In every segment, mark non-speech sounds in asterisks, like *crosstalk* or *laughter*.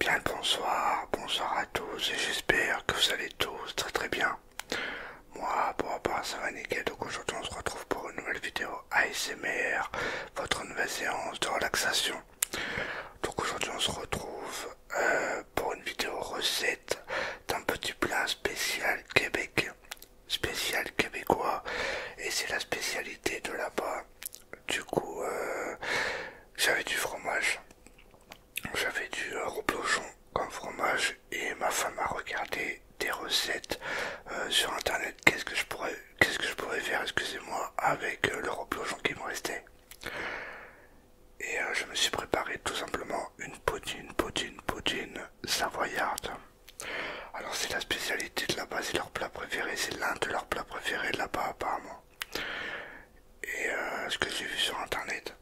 Bien bonsoir, bonsoir à tous et j'espère que vous allez tous très très bien. Moi pour rapport à ça va nickel donc aujourd'hui on se retrouve pour une nouvelle vidéo ASMR, votre nouvelle séance de relaxation. Donc aujourd'hui on se retrouve euh, pour une vidéo recette d'un petit plat spécial Québec, spécial québécois, et c'est la spécialité de là-bas. Du coup, euh, j'avais du fromage, j'avais du reblochon comme fromage, et ma femme a regardé des recettes euh, sur internet. Qu'est-ce que je pourrais, qu'est-ce que je pourrais faire, excusez-moi, avec euh, le reblochon qui me restait. Et euh, je me suis préparé tout simplement une poutine, poutine, poutine savoyarde. Alors c'est la spécialité de là-bas, c'est leur plat préféré, c'est l'un de leurs plats préférés de là-bas apparemment. Et euh, ce que j'ai vu sur internet.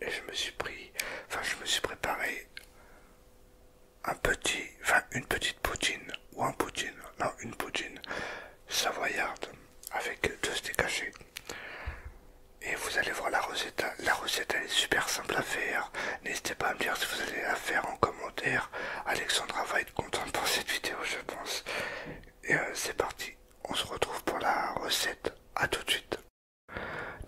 Et je me suis pris, enfin je me suis préparé un petit, enfin une petite poutine ou un poutine, non une poutine savoyarde avec deux steaks caché Et vous allez voir la recette. La recette elle est super simple à faire. N'hésitez pas à me dire ce que vous allez la faire en commentaire. Alexandra va être contente pour cette vidéo je pense. Et euh, c'est parti. On se retrouve pour la recette. à tout de suite.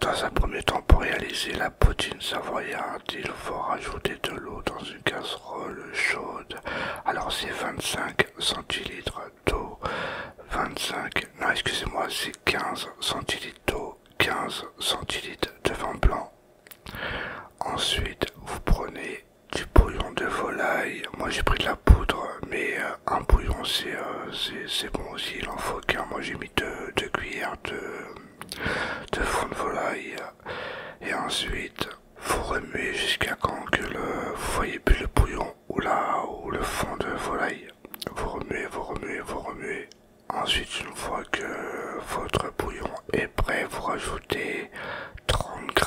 Dans un premier temps pour réaliser la poutine savoyarde, il faut rajouter de l'eau dans une casserole chaude. Alors c'est 25 centilitres d'eau, 25, non excusez-moi, c'est 15 centilitres d'eau, 15 centilitres de vin blanc. Ensuite, vous prenez du bouillon de volaille. Moi j'ai pris de la poudre, mais euh, un bouillon euh, c'est bon aussi, il en faut qu'un. Moi j'ai mis deux, cuillères de, de fond de volaille. Et ensuite, vous remuez jusqu'à quand que le, vous voyez plus le bouillon ou, là ou le fond de volaille. Vous remuez, vous remuez, vous remuez. Ensuite, une fois que votre bouillon est prêt, vous rajoutez 30 g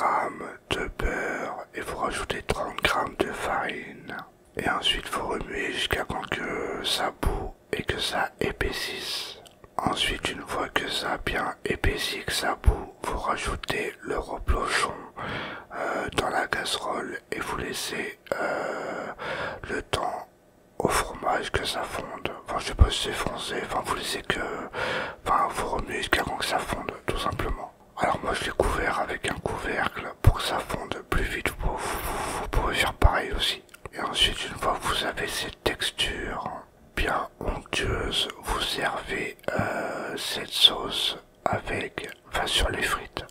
de beurre et vous rajoutez 30 g de farine. Et ensuite, vous remuez jusqu'à quand que ça boue et que ça épaississe. Ensuite, une fois que ça a bien épaissi, que ça boue, vous, rajoutez le reblochon euh, dans la casserole et vous laissez euh, le temps au fromage que ça fonde. Enfin, je sais pas si c'est foncé, enfin, vous laissez que. Enfin, vous remuez jusqu'à que ça fonde, tout simplement. Alors, moi, je l'ai couvert avec un couvercle pour que ça fonde plus vite. vous pouvez faire pareil aussi. Et ensuite, une fois que vous avez cette texture bien onctueuse, vous servez euh, cette sauce avec, enfin sur les frites.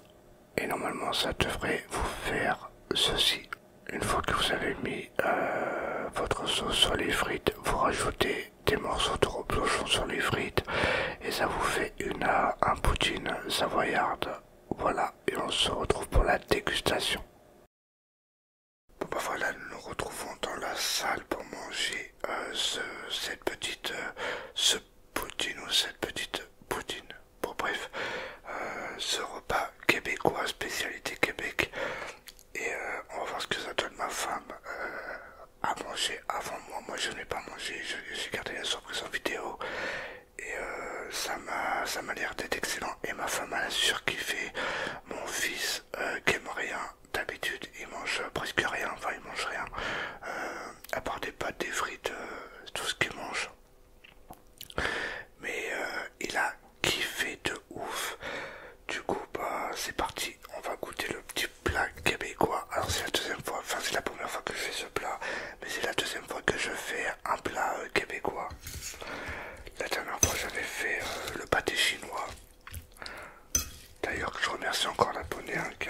Et normalement ça devrait vous faire ceci. Une fois que vous avez mis euh, votre sauce sur les frites, vous rajoutez des morceaux de reblochon sur les frites et ça vous fait une, euh, un poutine savoyarde. Voilà, et on se retrouve pour la dégustation. Bon bah voilà, nous nous retrouvons dans la salle pour manger euh, cette petite, euh, ce poutine ou cette petite poutine. Bon bref, euh, ce repas québécois, spécialité Québec. Et on va voir ce que ça donne ma femme à manger avant moi. Moi je n'ai pas mangé, j'ai gardé la surprise en vidéo. Et ça m'a l'air d'être excellent. Et ma femme a surkiffé. Mon fils euh, qui rien d'habitude, il mange euh, presque rien, enfin il mange rien, euh, à part des pâtes, des frites, tout ce qu'il mange Mais il a kiffé de ouf. Du coup, bah c'est parti, on va goûter le petit plat québécois. Alors c'est la deuxième fois, enfin c'est la première fois que je fais ce plat, mais c'est la deuxième fois que je fais un plat québécois. La dernière fois j'avais fait le pâté chinois. D'ailleurs, je remercie encore l'abonné un hein, qui,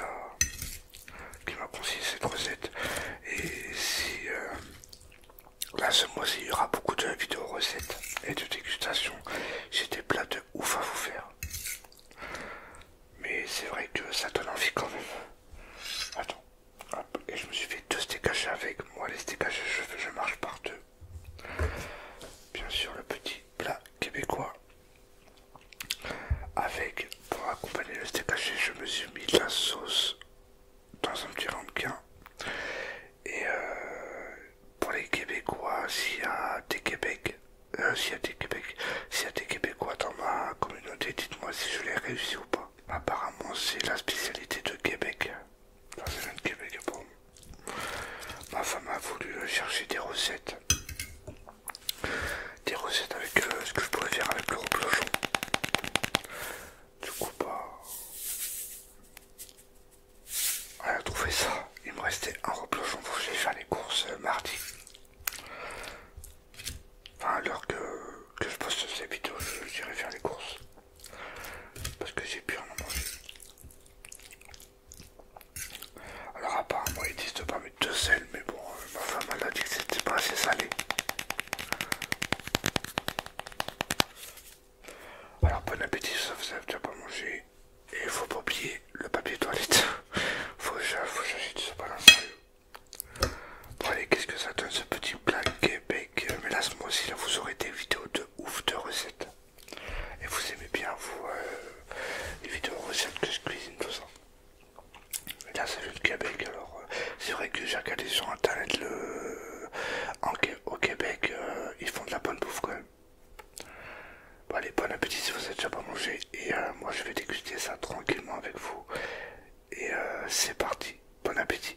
qui m'a conseillé cette recette. Et si euh, là, ce mois-ci, il y aura beaucoup de vidéos recettes et de dégustations. J'ai des plats de ouf à vous faire. Mais c'est vrai que ça donne envie quand même. Attends. Et je me suis fait deux stécages avec. Moi, les steaks je, je marche par deux. Bien sûr, le petit plat québécois. Avec, pour accompagner le steak haché, je me suis mis la sauce dans un petit ramequin. Et euh, pour les Québécois, s'il y a des Québec, euh, Québec, s'il y a des Québécois dans ma communauté, dites-moi si je l'ai réussi ou pas. Apparemment, c'est la spécialité de Québec. Ma femme a voulu euh, chercher des recettes. Des recettes avec euh, ce que je pourrais faire avec le reblochon. Du coup pas. Bah, Elle a trouvé ça. Il me restait un reblochon pour que faire les courses euh, mardi. Enfin, à l'heure que, je poste ces vidéos, je dirais faire les courses parce que j'ai pu en manger. Alors apparemment il existe pas mais de sel mais bon euh, ma femme elle a dit que c'était pas assez salé. Alors bon appétit ça vous avez déjà pas mangé et faut pas oublier le papier toilette. *laughs* faut que j'achète ce sérieux. Bon allez qu'est-ce que ça donne ce petit plat Québec là moi aussi là vous aurez des vidéos de ouf de recettes. Et vous aimez bien, vous, euh, les vidéos recettes que je cuisine, tout ça. là, c'est vu Québec, alors euh, c'est vrai que j'ai regardé sur internet le. Euh, au Québec, ils font de la bonne bouffe quand même. Bon, allez, bon appétit si vous n'avez déjà pas mangé. Et moi, je vais déguster ça tranquillement avec vous. Et c'est parti, bon appétit.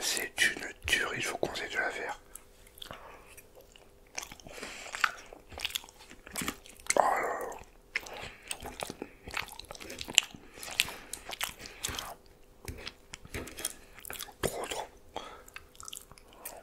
C'est une tuerie, je vous conseille de la faire.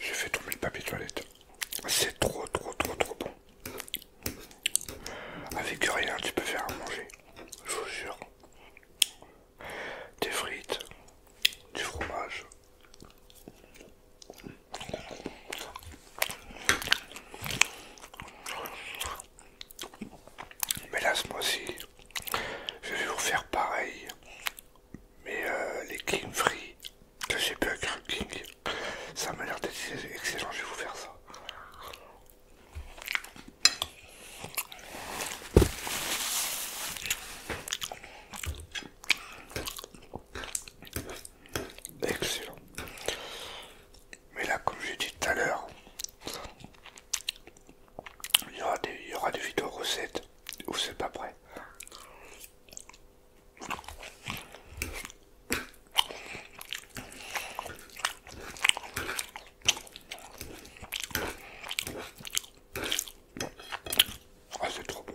J'ai fait tomber le papier toilette. C'est trop, trop, trop, trop bon. Avec rien, tu peux faire à manger. Je vous jure. Des frites, du fromage. Mais là, ce mois-ci, je vais vous faire pareil. Mais euh, les King Free, que j'ai pas avec King, ça m'a l'air d'être excellent, je vais vous faire ça excellent. Mais là, comme j'ai dit tout à l'heure, il y aura des, vidéos recettes où c'est pas prêt. Ah, c'est trop bon.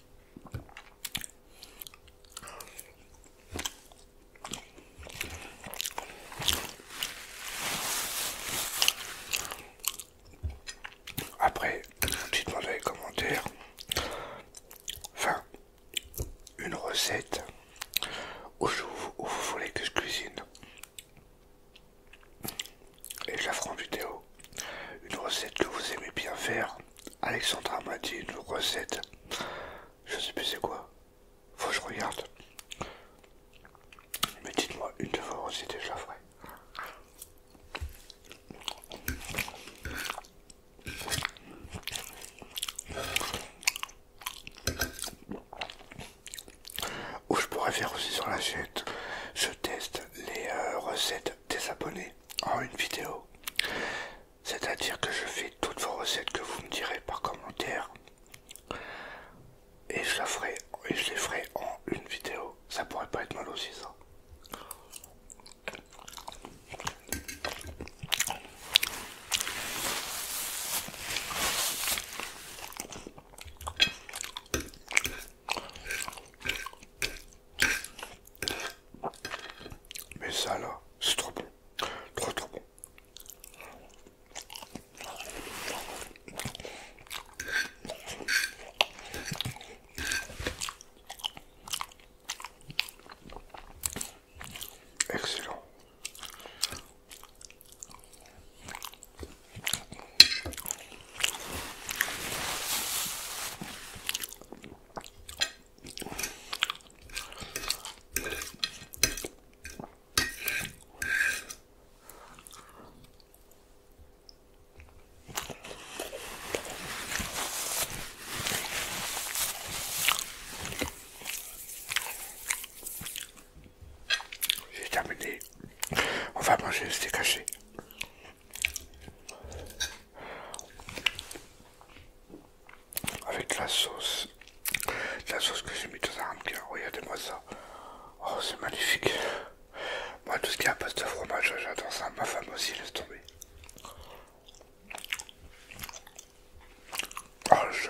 Après, dites demande dans les commentaires, enfin, une recette où, je, vous voulez que je cuisine et je la ferai en Vidéo. Une recette que vous aimez bien faire. Alexandra m'a dit une recette. Je sais plus c'est quoi. Faut que je regarde. Mais dites-moi une de vos recettes la ferai Ou je pourrais faire aussi sur la chaîne. Je teste les euh, recettes des abonnés en une vidéo. C'est-à-dire que je fais toutes vos recettes que vous me direz par commentaire et je, la ferai, et je les ferai en une vidéo. Ça pourrait pas être mal aussi ça. Mais ça là, c'est trop bon. Trop trop bon. Excellent. J'ai terminé. On va manger le steak haché. Avec la sauce. la sauce que j'ai mis dans un hamburger. Regardez-moi ça. Oh, c'est magnifique. Moi, tout ce qui est à base de fromage, j'adore ça. Ma femme aussi, laisse tomber. Oh, je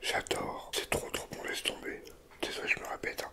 J'adore, c'est trop trop bon, laisse tomber. Désolé, je me répète. Hein.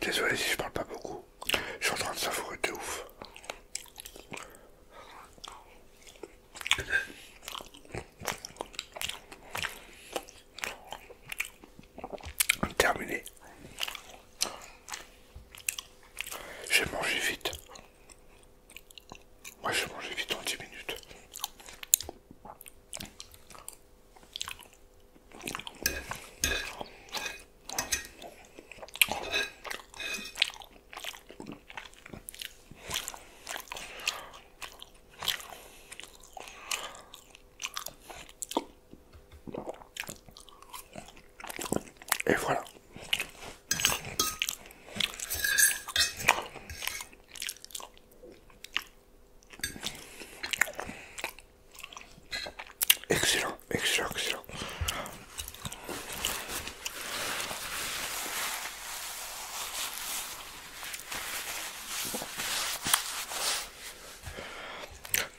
Désolé si je parle pas beaucoup, je suis en train de savourer de ouf. Terminé. J'ai mangé vite. Moi, j'ai mangé vite en 10 minutes. Et voilà. Excellent, excellent, excellent.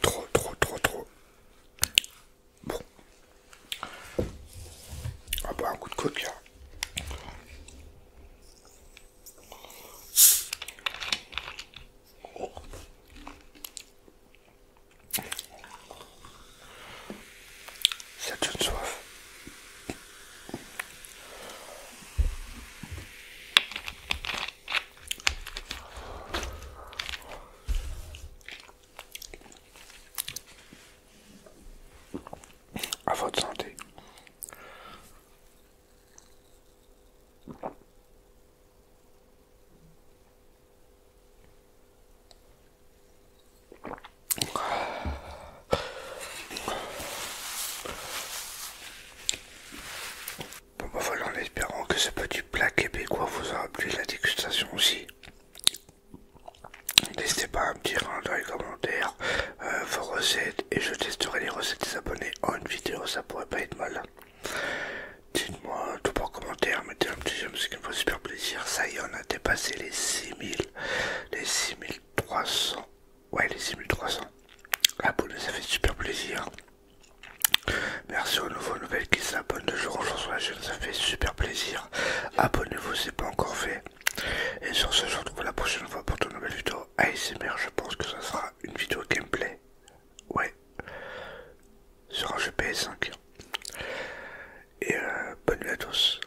Trop, trop, trop, trop. Bon. On va ah boire bah, un coup de coca. Ça donne soif. À votre santé. Bon bah voilà, en espérant que ce petit plat québécois vous aura plu la dégustation aussi. N'hésitez pas à me dire hein, dans les commentaires euh, vos recettes et je testerai les recettes des abonnés en une vidéo, ça pourrait pas être mal. Dites-moi tout en commentaire, mettez un petit j'aime, ce qui me fait super plaisir. Ça y est, on a dépassé les 6000, les 6300 Ouais, les 6300 abonnés, ah, ça fait super plaisir. Merci aux nouveaux nouvelles qui s'abonnent de jour en jour sur la chaîne, ça fait super plaisir. Abonnez-vous, c'est pas encore fait. Et sur ce, je vous retrouve la prochaine fois pour de nouvelles vidéos ASMR. Je pense que ça sera une vidéo gameplay. Ouais, sur un GPS 5 Et euh, bonne nuit à tous.